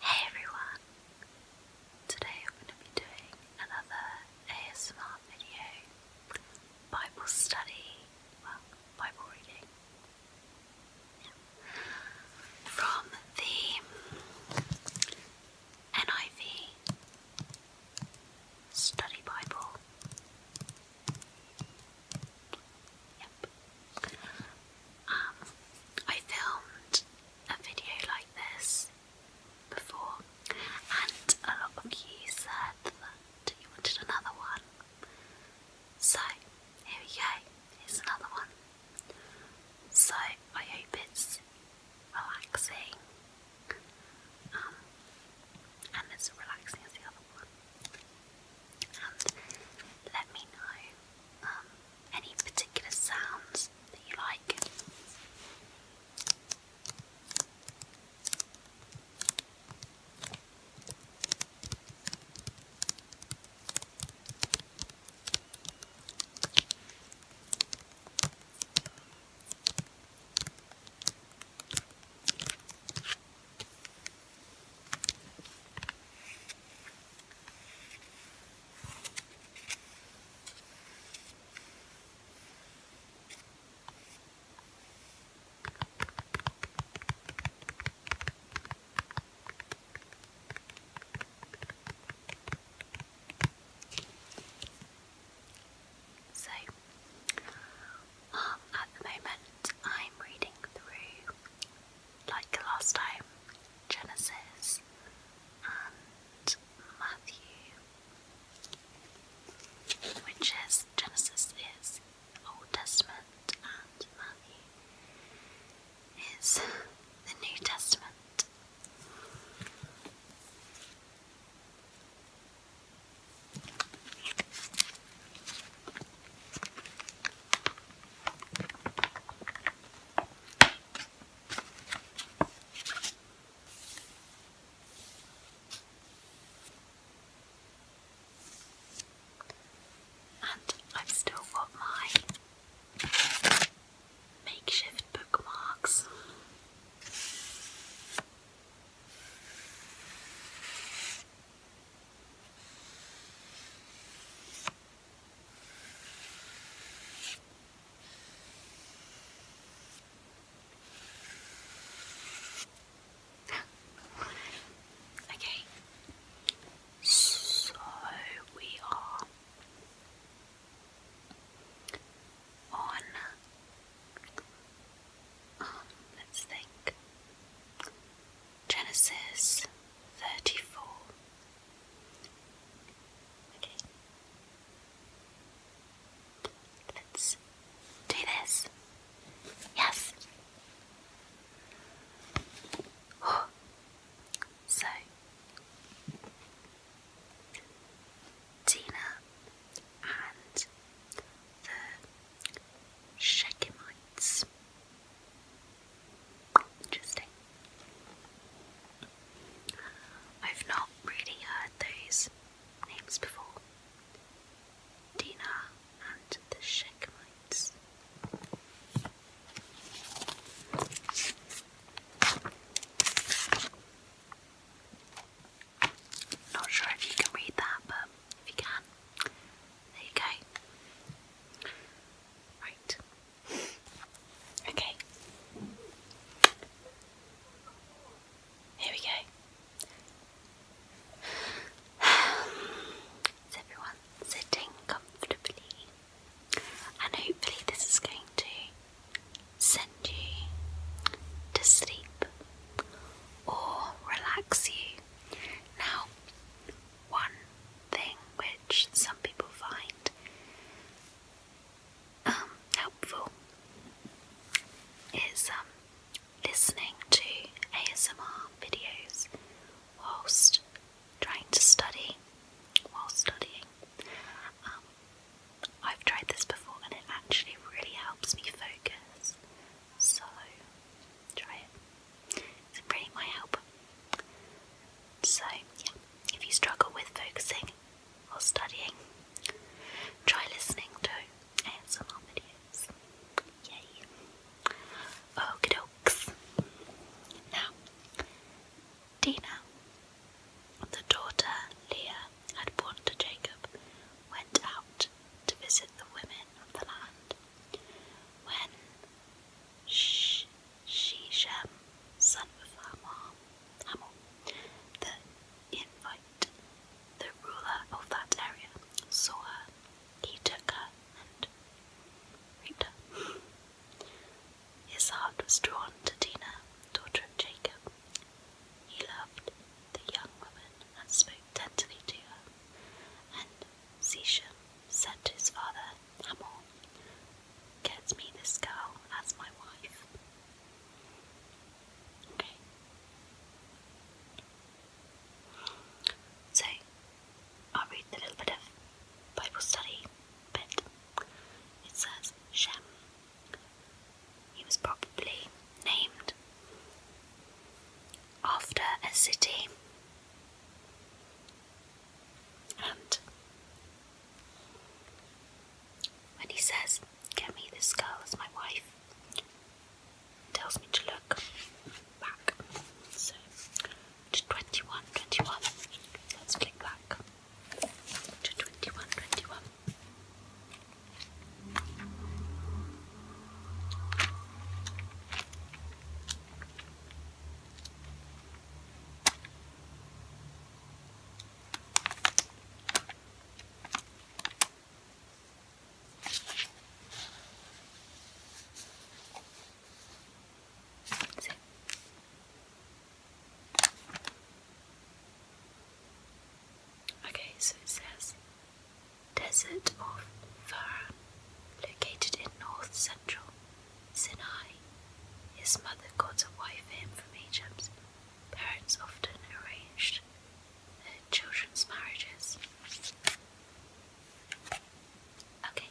Hey everyone! Today I'm going to be doing another ASMR video, Bible study, well, Bible reading, from the NIV Study Bible. Yep. Um, I filmed a video like this before, and a lot of you said that you wanted another one. So, here we go, here's another one. So, I hope it's relaxing, um, and it's relaxing as the other one let me know um, any particular sounds that you like. So, um, at the moment, I'm reading through like last time, Genesis and Matthew, which is Genesis is Old Testament and Matthew is the New Testament. And I've still got my makeshift bookmarks okay, so we are on. Um, let's think. Genesis 34. Okay. Let's do this. Yes. So, Tina and the Shechemites Interesting. I've not really heard these names before. Dina and the Shechemites. Not sure if you can read that, but if you can, there you go. Right. Okay. Here we go. Is everyone sitting comfortably? And hopefully, this is going to send you to sleep or relax you. Now, one thing which some people find um, helpful is um, listening to ASMR videos whilst trying to study, while studying. Um, I've tried this before and it actually really helps me focus, so try it. It's really my help. So, yeah, if you struggle with focusing or studying, try listening to ASMR videos. Yay! Okie dokes. Now, Dina, the daughter Leah had born to Jacob, went out to visit the women of the land. When Sh son of Hamam, the Invite, the ruler of that area, saw her, he took her and raped her. His heart was drawn to Dinah, daughter of Jacob. He loved the young woman and spoke tenderly to her, Seshem said to his father, Hamor, Get me this girl as my wife. Okay. So, i read the little bit of Bible study bit. It says Shem. He was probably named after a city and when he says, Get me this girl as my wife, tells me to look back. So to 21, Let's flick back to 21, 21. Sí. Okay, so it says Desert of Faran, located in north central Sinai. His mother got a wife for him from Egypt. Parents often arranged their children's marriages. Okay,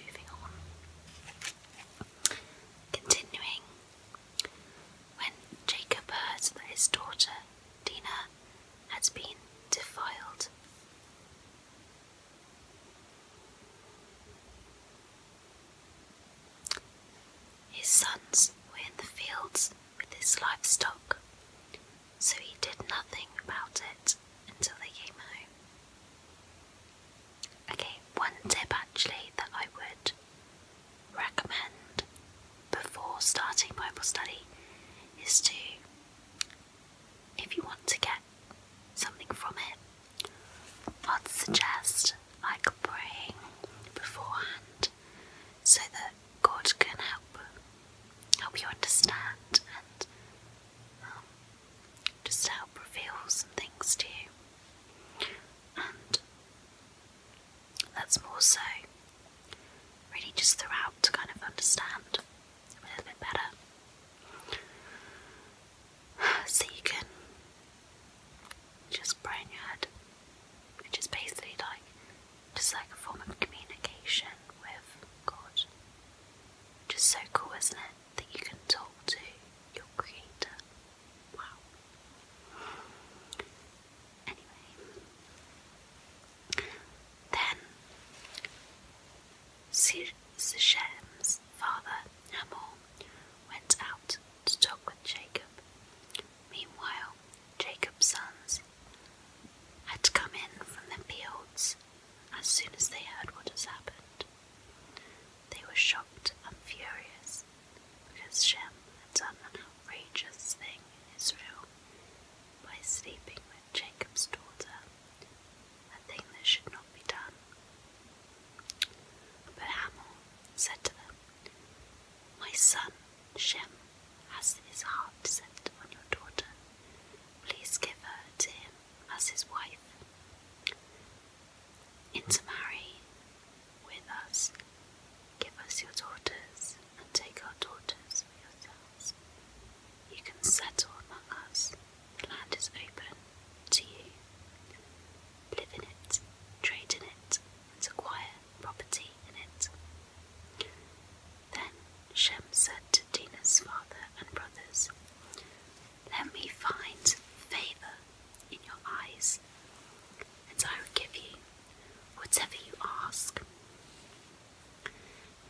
moving on. Continuing, when Jacob heard that his daughter Dina had been defiled. His sons were in the fields with his livestock, so he did nothing about it until they came home. Okay, one tip actually that I would recommend before starting Bible study is to, if you want to get something from it, I'd suggest like praying beforehand so that God can help help you understand and um, just help reveal some things to you. That's more so really just throughout to kind of understand a little bit better. So you can just brain your head, which is basically like just like a form of communication with God. Just so cool, isn't it? That you can talk to your creator. Wow. Anyway. Then Shem's father, Hamor, went out to talk with Jacob. Meanwhile, Jacob's sons had come in from the fields as soon as they heard what had happened. They were shocked and furious because Shem had done an Rageous thing in Israel by sleeping with Jacob's daughter, a thing that should not be done. But Hamel said to them, My son Shem has his heart set on your daughter. Please give her to him as his wife. Intermarry with us Give us your daughters, and take our daughters for yourselves. You can settle among us. The land is open to you. Live in it, trade in it, and acquire property in it. Then Shem said to Dinah's father and brothers, Let me find favour in your eyes, and I will give you whatever you ask.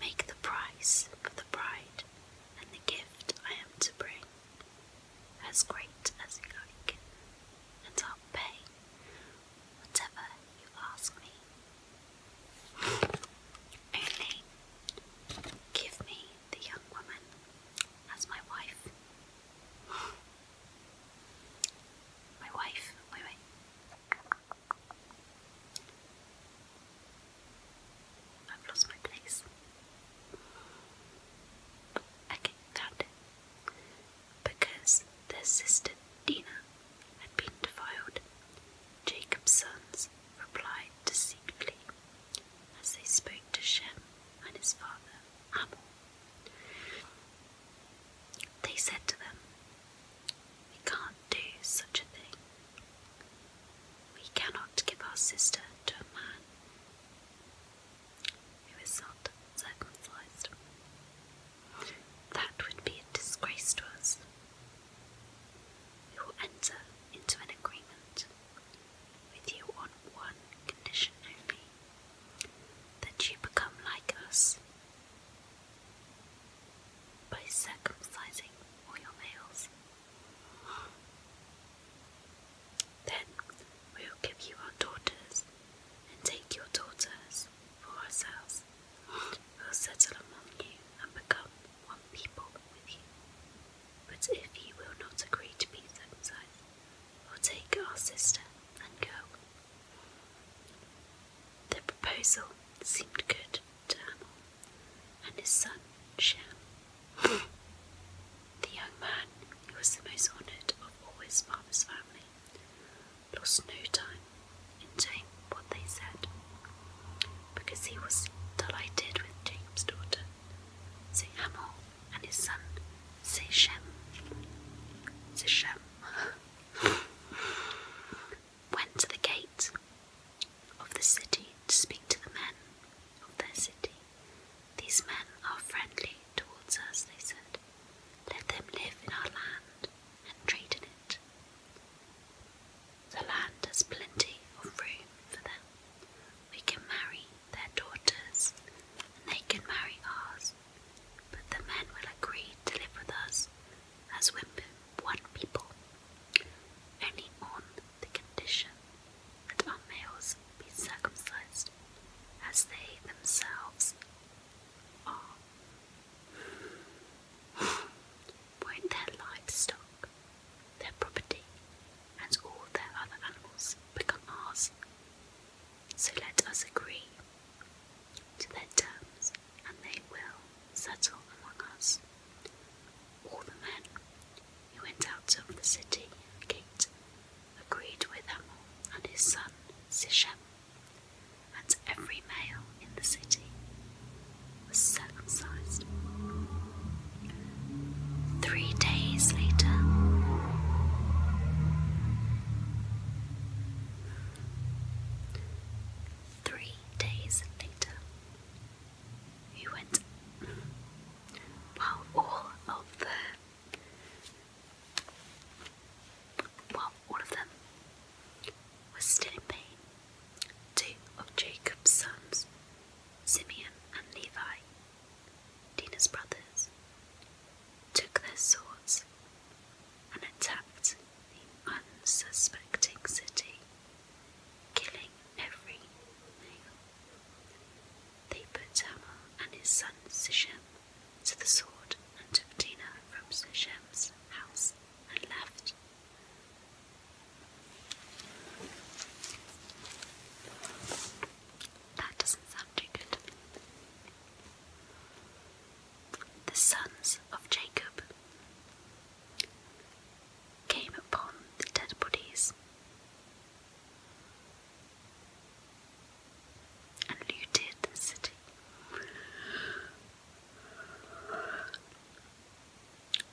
Make the price for the bride and the gift I am to bring as great as you like, and I'll pay whatever you ask me. Only give me the young woman as my wife. My wife, wait, wait. I've lost my place. Okay, found it. Because their sister Dina had been defiled, Jacob's sons replied deceitfully as they spoke to Shem and his father Hamor. They said to them, We can't do such a thing. We cannot give our sister to a man who is not circumcised. That would be a disgrace to us. We will enter into an agreement with you on one condition only that you become like us by circumcising all your males. Then we will give you our daughters and take your daughters for ourselves. We will settle among you and become one people with you. But if you will not agree to be circumcised, we'll take our sister and go the proposal seemed good to Hamel and his son Shem. the young man, who was the most honoured of all his father's family, lost no time in doing what they said, because he was delighted with James' daughter. So Hamel and his son say Shem went to the gate of the city to speak to the men of their city. These men are friendly towards us, they said. Let them live in our land and trade in it. The land has plenty of room for them. We can marry their daughters, and they can marry ours but the men will agree to live with us as women, one people, only on the condition that our males be circumcised, as they themselves are. Won't their livestock, their property, and all their other animals become ours? So let us agree to their terms, and they will settle among us. All the men who went out of the city agreed with Hamor and his son Sishem, and every male in the city was circumcised. Three days later, Three days later, he went. While all of the, well, all of them were still in pain, two of Jacob's sons, Simeon and Levi, Dina's brothers, took their swords and attacked the unsuspecting city, killing every male. They put Tamar and his son Sishem to the sword and took Dinah from Sishem's house and left. That doesn't sound too good the sons of Jacob, came upon the dead bodies and looted the city.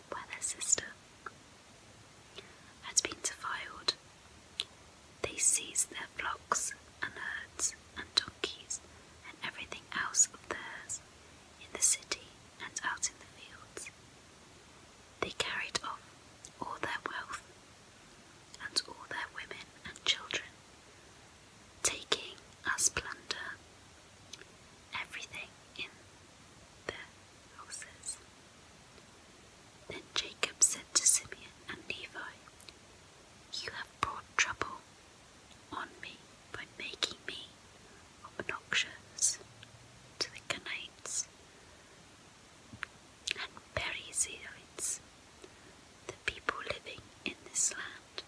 Where their sister had been defiled, they seized their flocks and herds and donkeys and everything else of theirs in the city and out in the fields. They carried off all their wealth and all their women and children, taking as plunder everything in their houses. Then Jacob said to Simeon and Levi, you have brought trouble on me by making me obnoxious to the Canites and Perizzites, the people living in this land.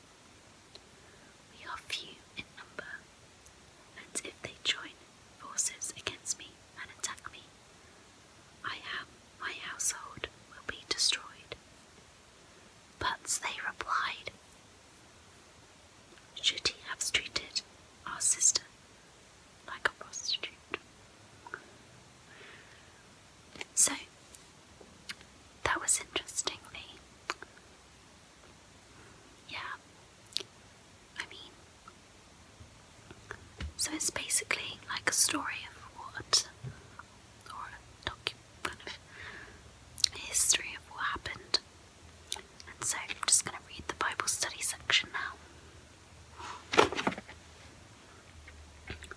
We are few in number, and if they join forces against me and attack me, I am my household will be destroyed. But they replied, Should he have treated our sister like a prostitute? So, that was interestingly, yeah, I mean, so it's basically like a story of what or a docu- of history of what happened. And so I'm just going to read the Bible study section now.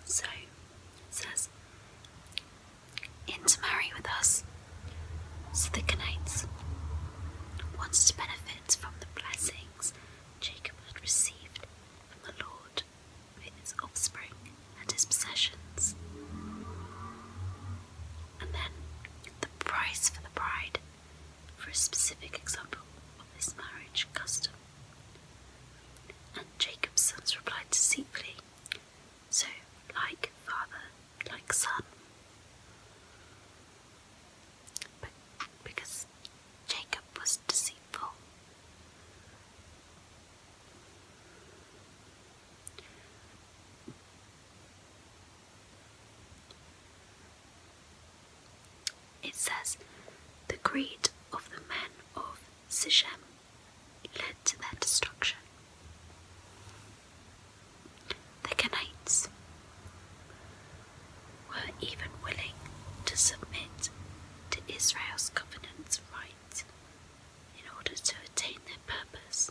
So it says, intermarry with us, so the Canaanites wanted to benefit from the blessings Jacob had received from the Lord his offspring and his possessions. And then the price for the bride, for a specific example of this marriage custom. And Jacob's sons replied deceitfully, so like father, like son. But because Jacob was deceived. It says, The greed of the men of Sichem led to their destruction. The Canaanites were even willing to submit to Israel's covenant right in order to attain their purpose.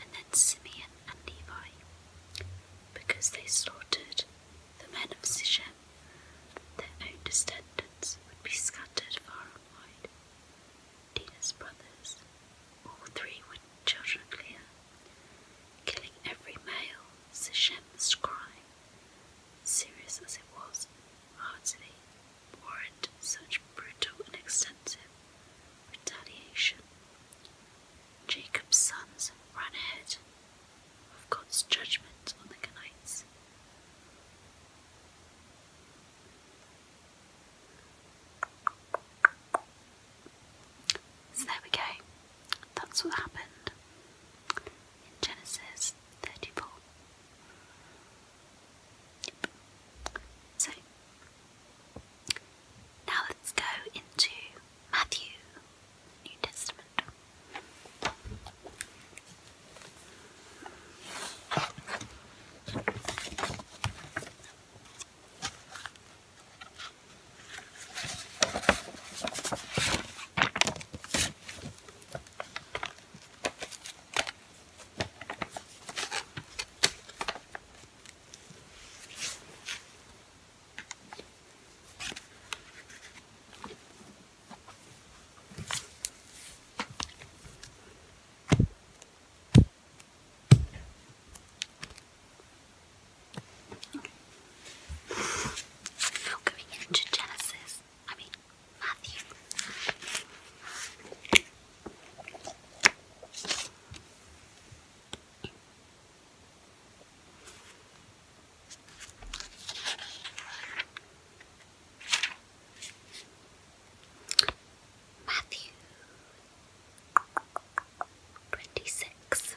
And then Simeon and Levi, because they slaughtered the men of Sichem, their own descendants would be scattered far and wide. Dina's brothers, all three were children of Leah, killing every male Sichem's crime Serious as it was, hardly warranted such brutal and extensive retaliation. Jacob's sons ran ahead of God's judgment on the Canaanites. So there we go. That's what happened in Genesis 34. Yep. So, now let's go into Matthew, New Testament. Now going into Genesis, I mean, Matthew. Matthew twenty six.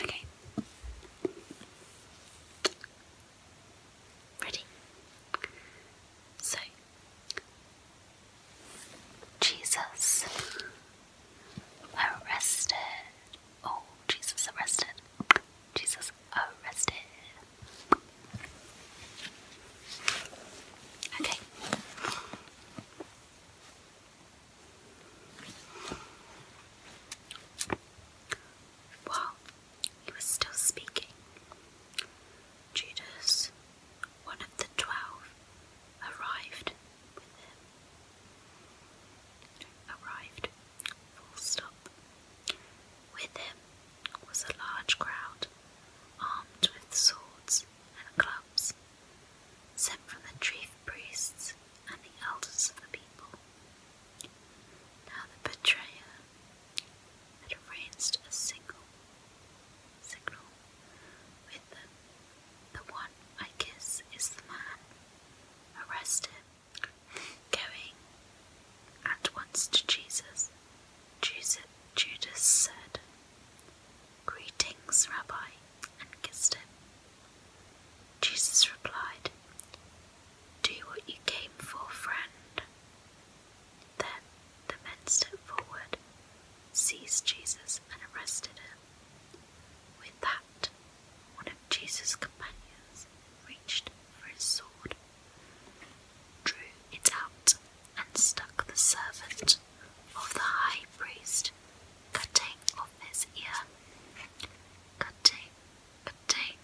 Okay. Ready? So, Jesus arrested. Oh, Jesus arrested. Jesus arrested. Okay. While he was still speaking, Judas, one of the twelve, arrived with him. Arrived, With him was a large crowd, armed with swords and clubs, sent from the chief priests and the elders of the people. Now the betrayer had arranged a single signal with them. The one I kiss is the man. Arrest him. Going at once to Jesus, Judas said, Greetings, Rabbi, and kissed him. Jesus replied, Do what you came for, friend. Then the men stepped forward, seized Jesus, and arrested him. With that, one of Jesus' companions reached for his sword, drew it out, and stuck the servant of the high priest, cutting off his ear. Good day, good day,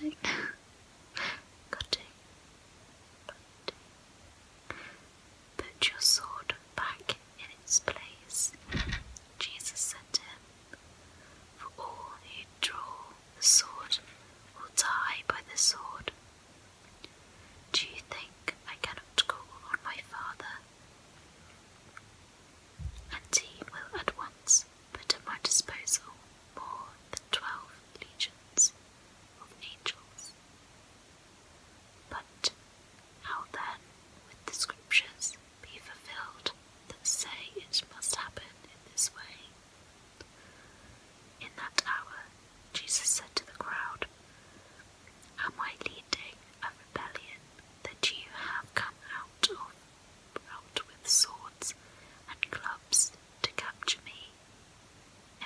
good Put your sword back in its place, Jesus said to him. For all who draw the sword will die by the sword. Do you think I cannot call on my Father and he will at once put at my disposal more than twelve legions of angels. But how then would the scriptures be fulfilled that say it must happen in this way? In that hour, Jesus said to the crowd, Am I leading a rebellion that you have come out of out with swords and clubs to capture me?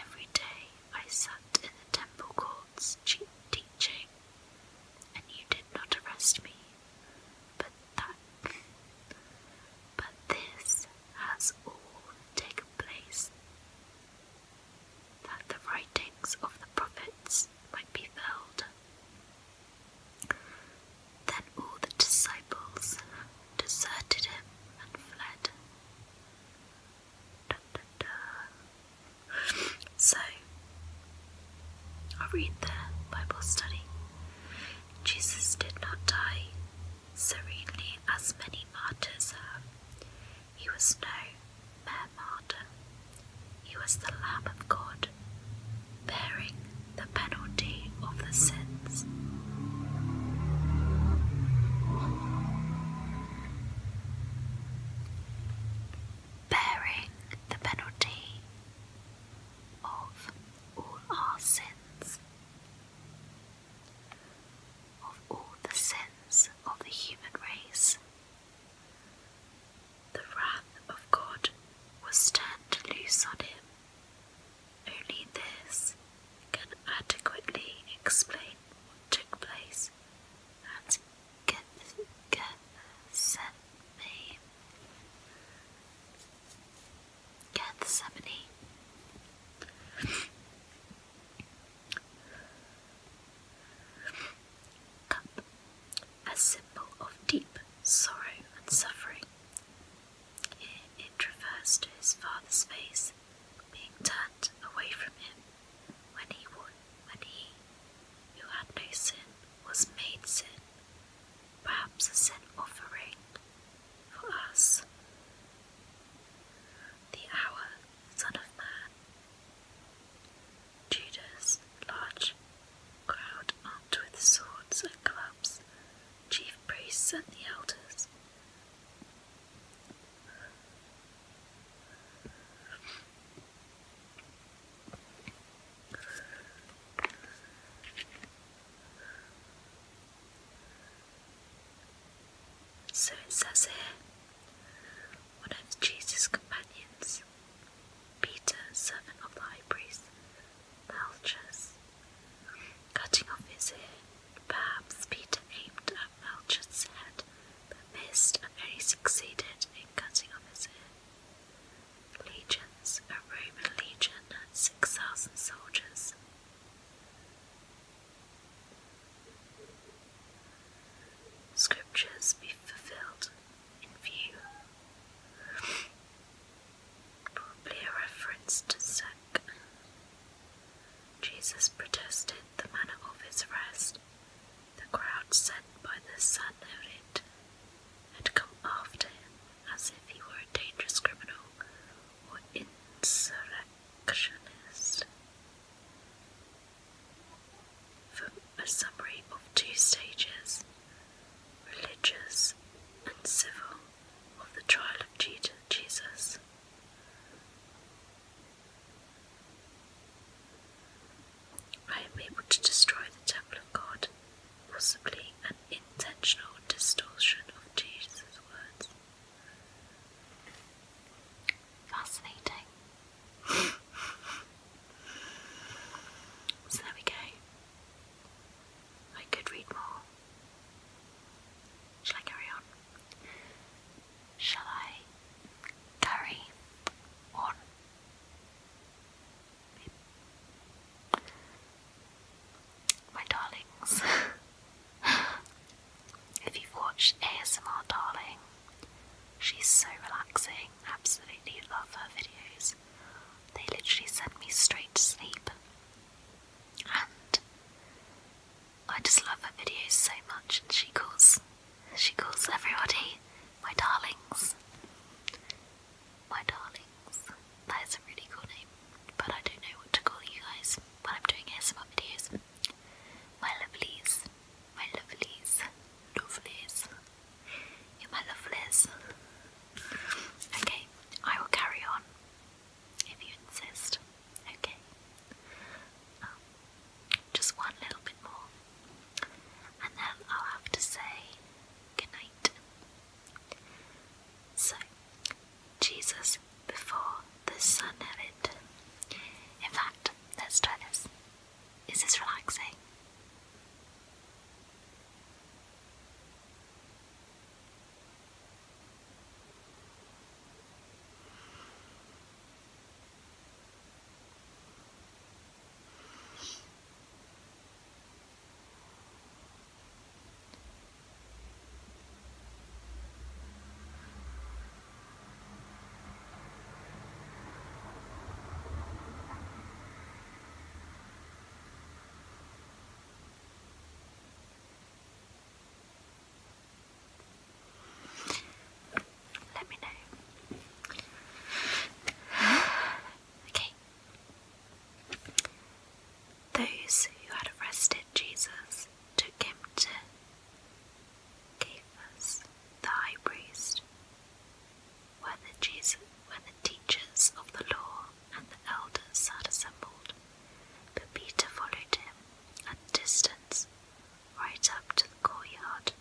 Every day I sat in the temple courts teaching, and you did not arrest me. But that, but this has all taken place that the writings of the prophets might be filled. Then all the disciples deserted him and fled. So, i read the Bible study. Jesus did not die serenely as many martyrs have. He was no mere martyr. He was the Lamb of God, bearing the penalty of the sins. Bearing the penalty of all our sins, of all the sins of the human race, the wrath of God was turned loose on him. Only this can adequately explain what took place at Gethsemane. Gethsemane a symbol of deep sorrow and suffering. it traversed his father's face being turned away from him when he when he who had no sin was made sin, perhaps a sin offering for us. The hour Son of Man. Judas, large crowd armed with swords and clubs, chief priests and the elders. So it says here one of Jesus' companions, Peter, servant of the high priest, Malchus. Cutting off his ear, perhaps Peter aimed at Malchus' head but missed and only succeeded in cutting off his ear. Legions, a Roman legion had 6,000 soldiers scriptures be fulfilled in view. Probably a reference to Sec. Jesus protested the manner of his arrest. The crowd sent by the son of it had come after him as if he were a dangerous criminal or insurrectionist for a summary of two stages, religious and civil, of the trial of Jesus. I am able to destroy the temple of God, possibly an intentional distortion of Jesus' words. Fascinating. so there we go. I could read more. Shall I carry on? Shall I carry on? My darlings, If you've watched ASMR Darling, she's so relaxing, absolutely love her videos. They literally send me straight to sleep. And I just love her videos so much and she calls she calls everybody my darlings. My darlings. That is a really cool name, but I don't know what to call you guys when I'm doing ASMR videos. My lovelies my lovelies, lovelies, you're my lovelies. Okay, I will carry on if you insist. Okay, um, just one little bit more, and then I'll have to say good So, Jesus before the sun of it. In fact, let's try this. Is this relaxing? Let me know. okay. Those who had arrested Jesus took him to Caiaphas, the high priest, where the, teachers of the law and the elders sat assembled. Peter followed him at a distance, right up to the courtyard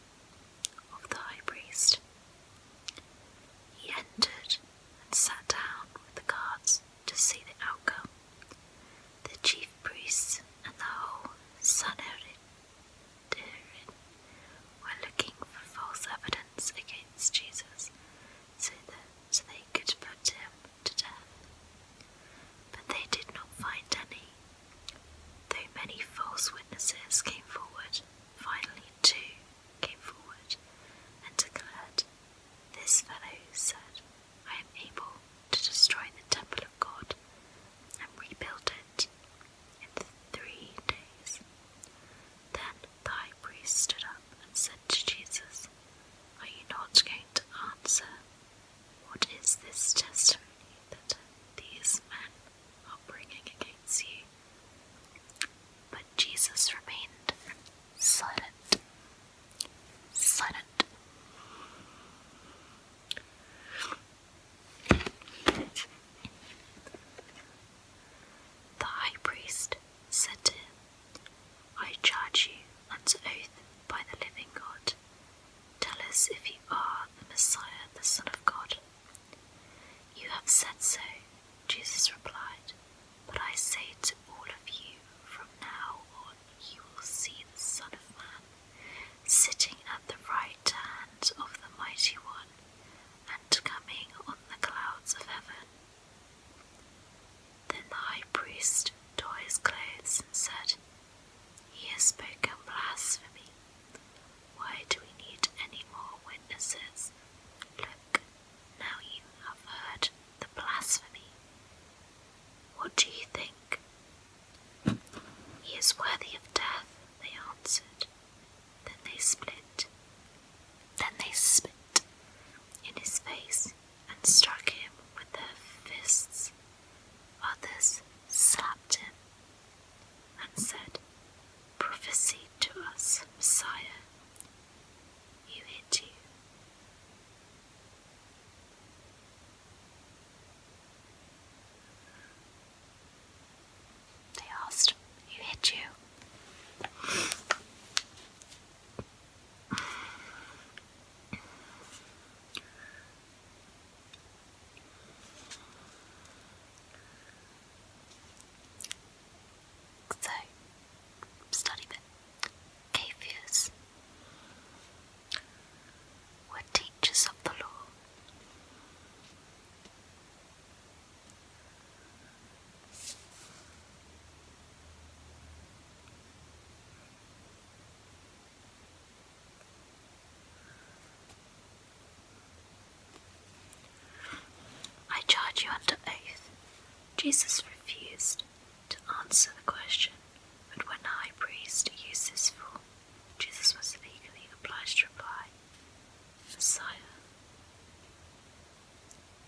of the high priest. He entered and sat down with the guards to see the outcome. The chief priests and the whole Sanhedrin were looking for false evidence against Jesus so that they could put him to death. But they did not find any, though many false witnesses came forward. Finally, two came forward and declared, This fellow said, I am able to destroy the temple of God and rebuild it in three days. Then the high priest stood up and said to Jesus, Are you not going to answer? What is this testimony that these men are bringing against you? But Jesus remained silent. Silent. The high priest said to him, I charge you unto oath by the living God. Tell us if you are the Messiah, the Son of God. You have said so, Jesus replied, but I say to all of you, from now on you will see the Son of Man sitting at the right hand of the Mighty One, and coming on the clouds of heaven. Then the high priest tore his clothes and said, He has spoken blasphemy. Why do we need any more witnesses? Look, now you have heard the blasphemy. What do you think he is worthy of death, they answered. Then they split. Then they spit in his face and struck him with their fists. Others slapped him and said, Prophesy to us, Messiah. You hit you. They asked, Who hit you? So, study bit. K fears were teachers of the law. I charge you under oath. Jesus refused to answer the question but when the high priest uses this form, Jesus was legally obliged to reply, Messiah,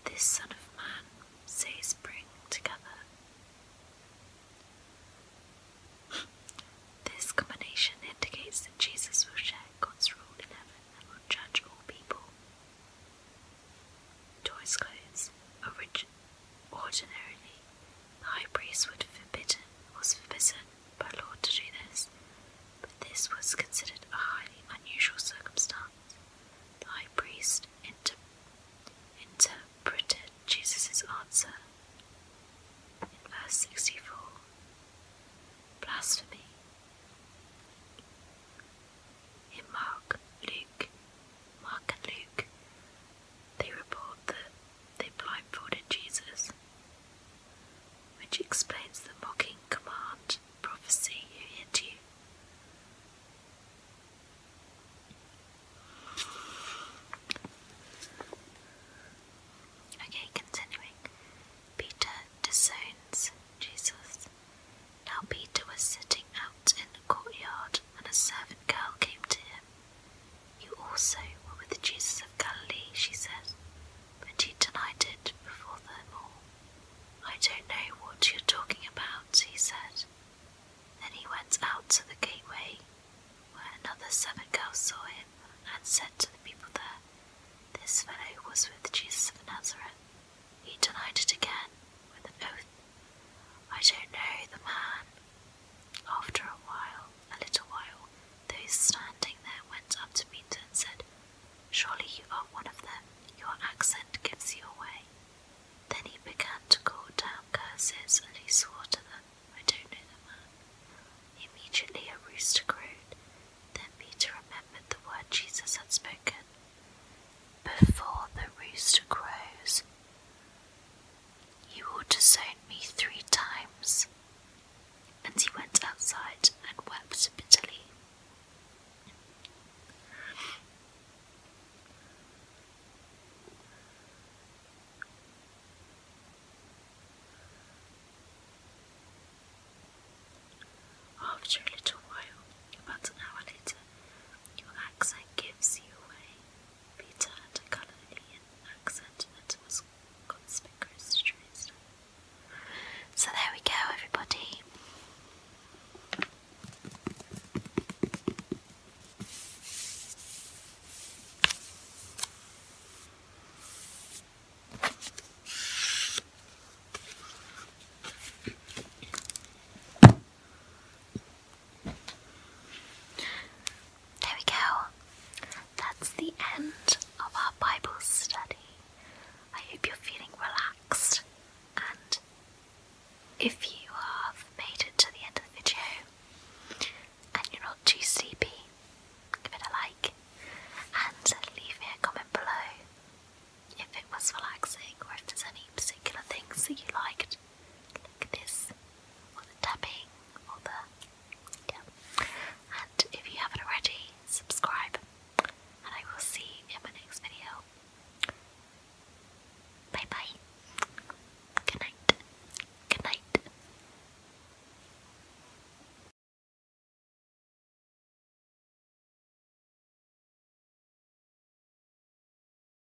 this Son of Man says bring together. This combination indicates that Jesus will share God's rule in heaven and will judge all people. Toys' clothes, origin- the high priest would forbidden, was forbidden by law to do this, but this was considered a highly unusual circumstance. The high priest inter interpreted Jesus' answer in verse 64 Blasphemy. In Mark, Luke, Mark Luke, they report that they blindfolded Jesus, which explains the mocking command prophecy you hit you. Okay, continuing. Peter disowns Jesus. Now Peter was sitting out in the courtyard and a servant girl came to him. You also were with Jesus of Galilee, she said, but you denied it before them all. I don't know what you're talking about, he said. Then he went out to the gateway, where another servant girl saw him and said to the people there, This fellow was with Jesus of Nazareth. He denied it again with an oath. I don't know the man. After a while, a little while, those standing there went up to Peter and said, Surely you are one of them, your accent gives you away. Then he began to call down curses, and he swore to them, I don't know the Immediately a rooster crowed. Then Peter remembered the word Jesus had spoken. Before the rooster crows, you will disown me three times. And he went outside and wept bitterly. After a little while, about an hour later, your accent gives you away. Peter had a Caledonian accent that was conspicuous to Teresa. So there we go, everybody. There we go. That's the end of our Bible study. I hope you're feeling relaxed, and if you have made it to the end of the video and you're not too sleepy, give it a like and leave me a comment below if it was relaxing or if there's any particular things that you liked this, tapping, or the. Yeah. And if you haven't already, subscribe, and I will see you in my next video. Bye bye. Good night. Good night.